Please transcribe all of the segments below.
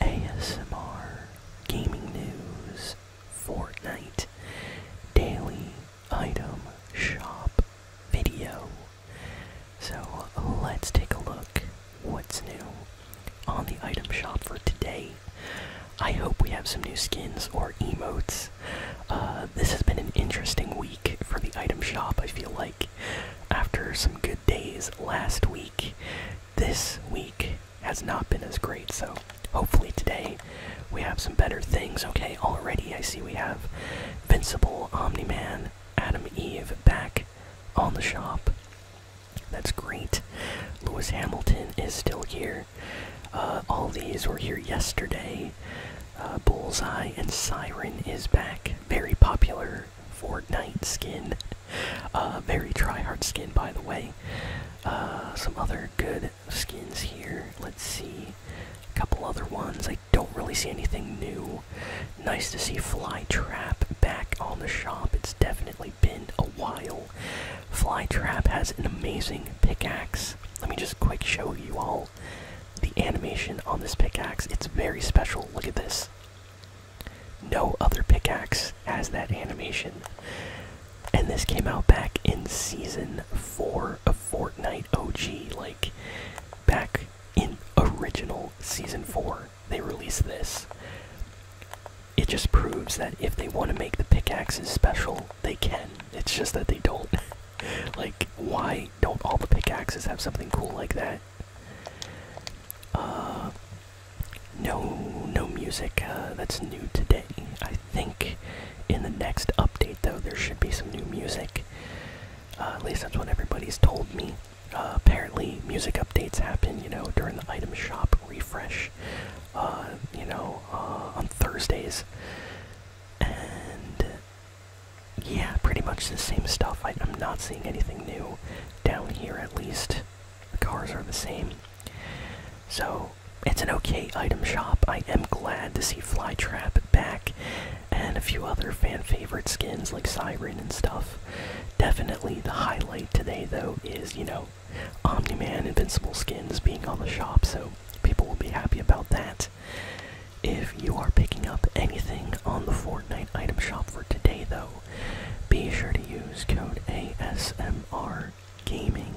ASMR, gaming news, Fortnite, daily item shop video. So let's take a look what's new on the item shop for today. I hope we have some new skins or emotes. Uh, this has been an interesting week for the item shop, I feel like. After some good days last week, this week has not been as great, so hopefully today we have some better things. Okay, already I see we have Invincible, Omni Man, Adam Eve back on the shop. That's great. Lewis Hamilton is still here. Uh, all these were here yesterday. Uh, Bullseye and Siren is back. Very popular Fortnite skin. Uh, very try-hard skin, by the way. Uh, some other good skins here. Let's see a couple other ones. I don't really see anything new. Nice to see Flytrap back on the shop. It's definitely been a while. Flytrap has an amazing pickaxe. Let me just quick show you all the animation on this pickaxe. It's very special. Look at this. No other pickaxe has that animation. And this came out back in season 4 of Fortnite OG. Like, back in original season 4, they released this. It just proves that if they want to make the pickaxes special, they can. It's just that they don't. like, why don't all the pickaxes have something cool like that? Uh, no, no music uh, that's new today. I think in the next update, though, there should be some new music. Uh, at least that's what everybody's told me. apparently, music updates happen, you know, during the item shop refresh, you know, on Thursdays. And yeah, pretty much the same stuff. I'm not seeing anything new down here, at least. The cars are the same. So it's an okay item shop. I am glad to see Flytrap back and a few other fan favorite skins like Siren and stuff. Definitely the highlight today though is, you know, Omni Man Invincible skins being on the shop, so people will be happy about that. If you are picking up anything on the Fortnite item shop for today though, be sure to use code ASMR Gaming.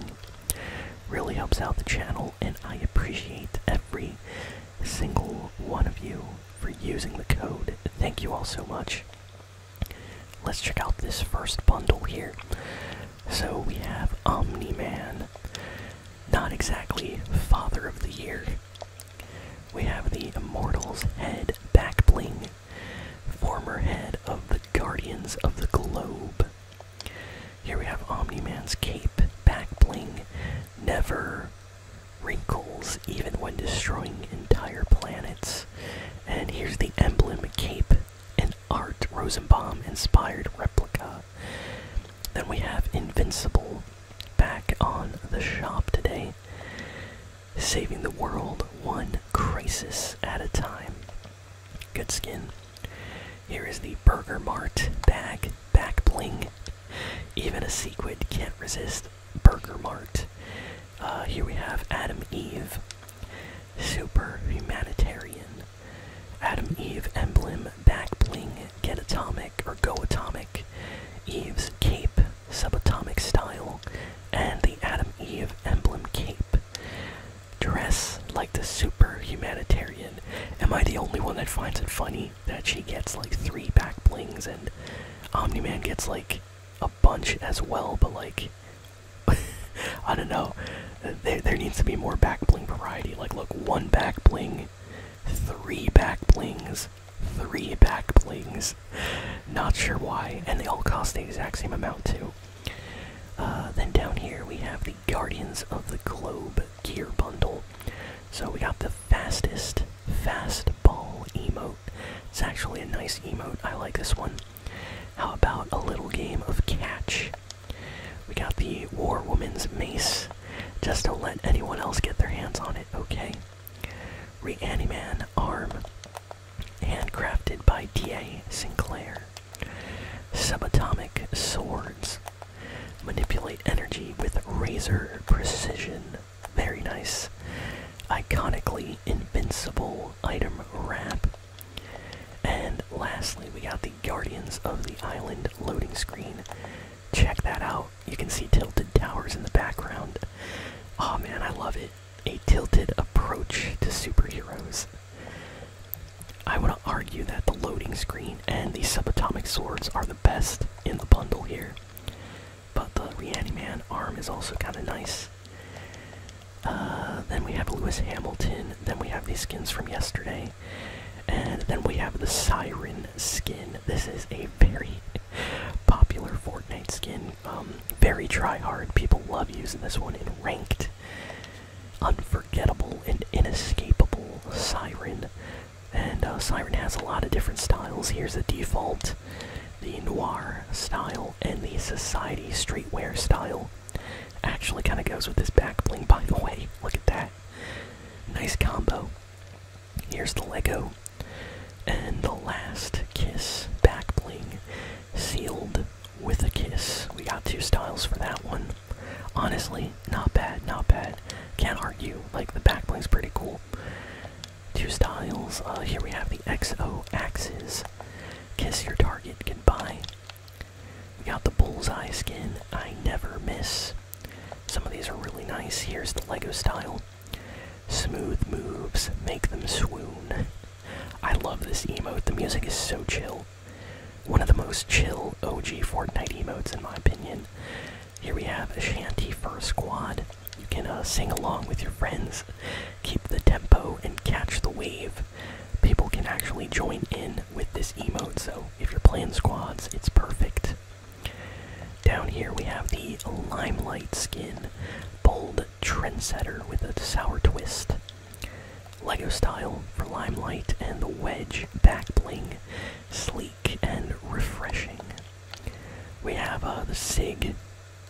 Really helps out the channel, and I appreciate every single one of you for using the code. Thank you all so much. Let's check out this first bundle here. So we have Omni Man, not exactly Father of the Year. We have the Immortals Head Back Bling former head of the Guardians of the Globe. Here we have Omni Man's cape, back bling, never wrinkles even when destroying entire planets. And here's the emblem cape, an Art Rosenbaum inspired replica. Then we have Invincible back on the shop today saving the world one crisis at a time. Good skin. Here is the Burger Mart bag, back bling. Even a sequid can't resist Burger Mart. Uh, here we have Adam Eve, super humanitarian. Adam Eve emblem, back bling, get atomic or go atomic. Eve's cape, subatomic style, and the Adam Eve emblem cape. Dress like the super humanitarian. Am I the only one that finds it funny that she gets like three back blings and Omni Man gets like a bunch as well, but like. I don't know. There, there needs to be more back bling variety. Like, look, one back bling, three back blings, three back blings. Not sure why, and they all cost the exact same amount too. Uh, then down here we have the Guardians of the Globe gear bundle. So we got the fastest fast ball emote. It's actually a nice emote. I like this one. How about a little game of catch? We got the War Woman's Mace. Just don't let anyone else get their hands on it, okay? Reaniman arm handcrafted by D.A. Sinclair. Subatomic swords. Manipulate energy with razor precision. Very nice. Iconically invincible item wrap. And lastly, we got the Guardians of the Island loading screen. Check that out. You can see Tilted Towers in the background. Oh man, I love it a tilted approach to superheroes. I want to argue that the loading screen and the subatomic swords are the best in the bundle here, but the Man arm is also kind of nice. Uh, then we have Lewis Hamilton, then we have these skins from yesterday, and then we have the Siren skin. This is a very popular Fortnite skin. Um, very try hard. People love using this one in ranked. Unforgettable and inescapable Siren. And uh, Siren has a lot of different styles. Here's the default, the noir style, and the society streetwear style. Actually, kind of goes with this back bling, by the way. Look at that. Nice combo. Here's the Lego and the last kiss, back bling, sealed with a kiss. We got two styles for that one. Honestly, not bad, not bad. Can't argue. Like the back bling's pretty cool. Two styles. Uh, here we have the XO axes. Kiss your target goodbye. We got the bullseye skin. I never miss. Some of these are really nice. Here's the Lego style. Smooth moves make them swoon. I love this emote. The music is so chill. One of the most chill OG Fortnite emotes, in my opinion. Here we have a shanty fur squad. You can uh, sing along with your friends, keep the tempo, and catch the wave. People can actually join in with this emote, so if you're playing squads, it's perfect. Down here we have the Limelight skin. Bold Trendsetter with a sour twist. Lego style for limelight and the wedge back bling, sleek and refreshing. We have uh, the Sig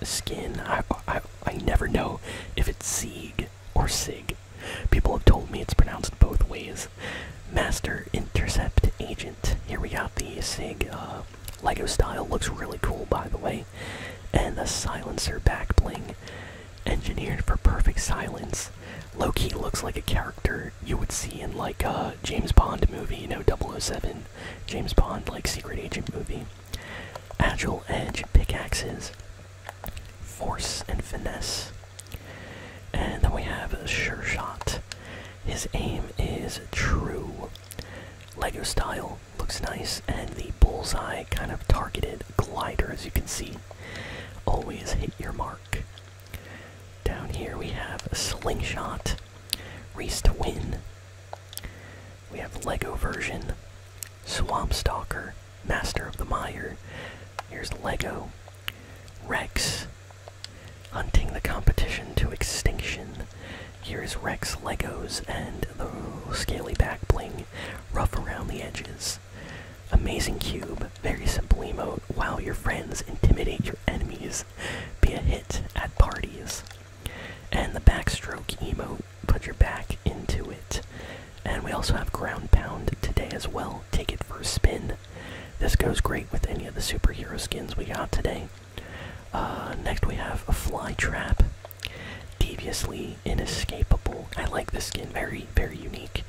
skin. I, I, I never know if it's Sig or Sig. People have told me it's pronounced both ways. Master Intercept Agent. Here we have the Sig uh, Lego style looks really cool, by the way. And the silencer back bling, engineered for perfect silence. Loki looks like a character you would see in like a James Bond movie, you know, 007, James Bond like secret agent movie. Agile edge pickaxes, force and finesse. And then we have a sure shot. His aim is true. Lego style, looks nice, and the bullseye kind of targeted glider, as you can see. Always hit your mark. Down here we have a slingshot, race to win. We have Lego version, Swamp Stalker, Master of the Mire. Here's Lego, Rex, hunting the competition to extinction. Here's Rex Legos and the scaly back bling, rough around the edges. Amazing cube, very simple emote. Wow your friends, intimidate your enemies, be a hit at parties. And the backstroke emote, put your back into it. And we also have ground pound today as well. Take it for a spin. This goes great with any of the superhero skins we got today. Uh, next, we have a fly trap. Deviously inescapable. I like this skin, very, very unique.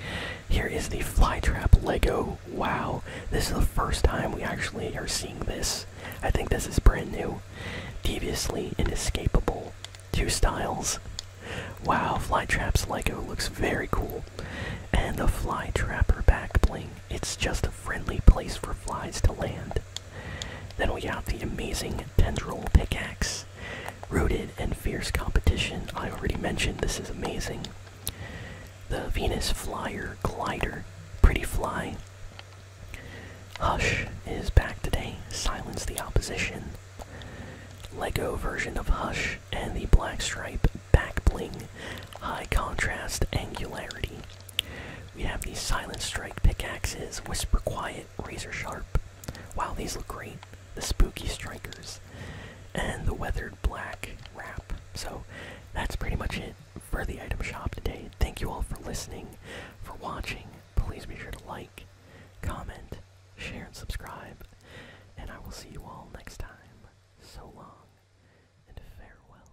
Here is the fly trap Lego. Wow, this is the first time we actually are seeing this. I think this is brand new. Deviously inescapable. Two styles. Wow, fly traps Lego looks very cool. And the fly Flytrapper back bling. It's just a friendly place for flies to land. Then we have the amazing tendril pickaxe. Rooted in fierce competition. I already mentioned this is amazing. The Venus Flyer Glider. Pretty fly. Hush is back today. Silence the opposition. Lego version of Hush and the Black Stripe back bling. High contrast angularity. We have these Silent Strike pickaxes, Whisper Quiet, Razor Sharp. while these look great. The Spooky Strikers. And the Weathered Black Wrap. So that's pretty much it for the item shop today. Thank you all for listening, for watching. Please be sure to like, comment, share, and subscribe. And I will see you all next time. So long and farewell.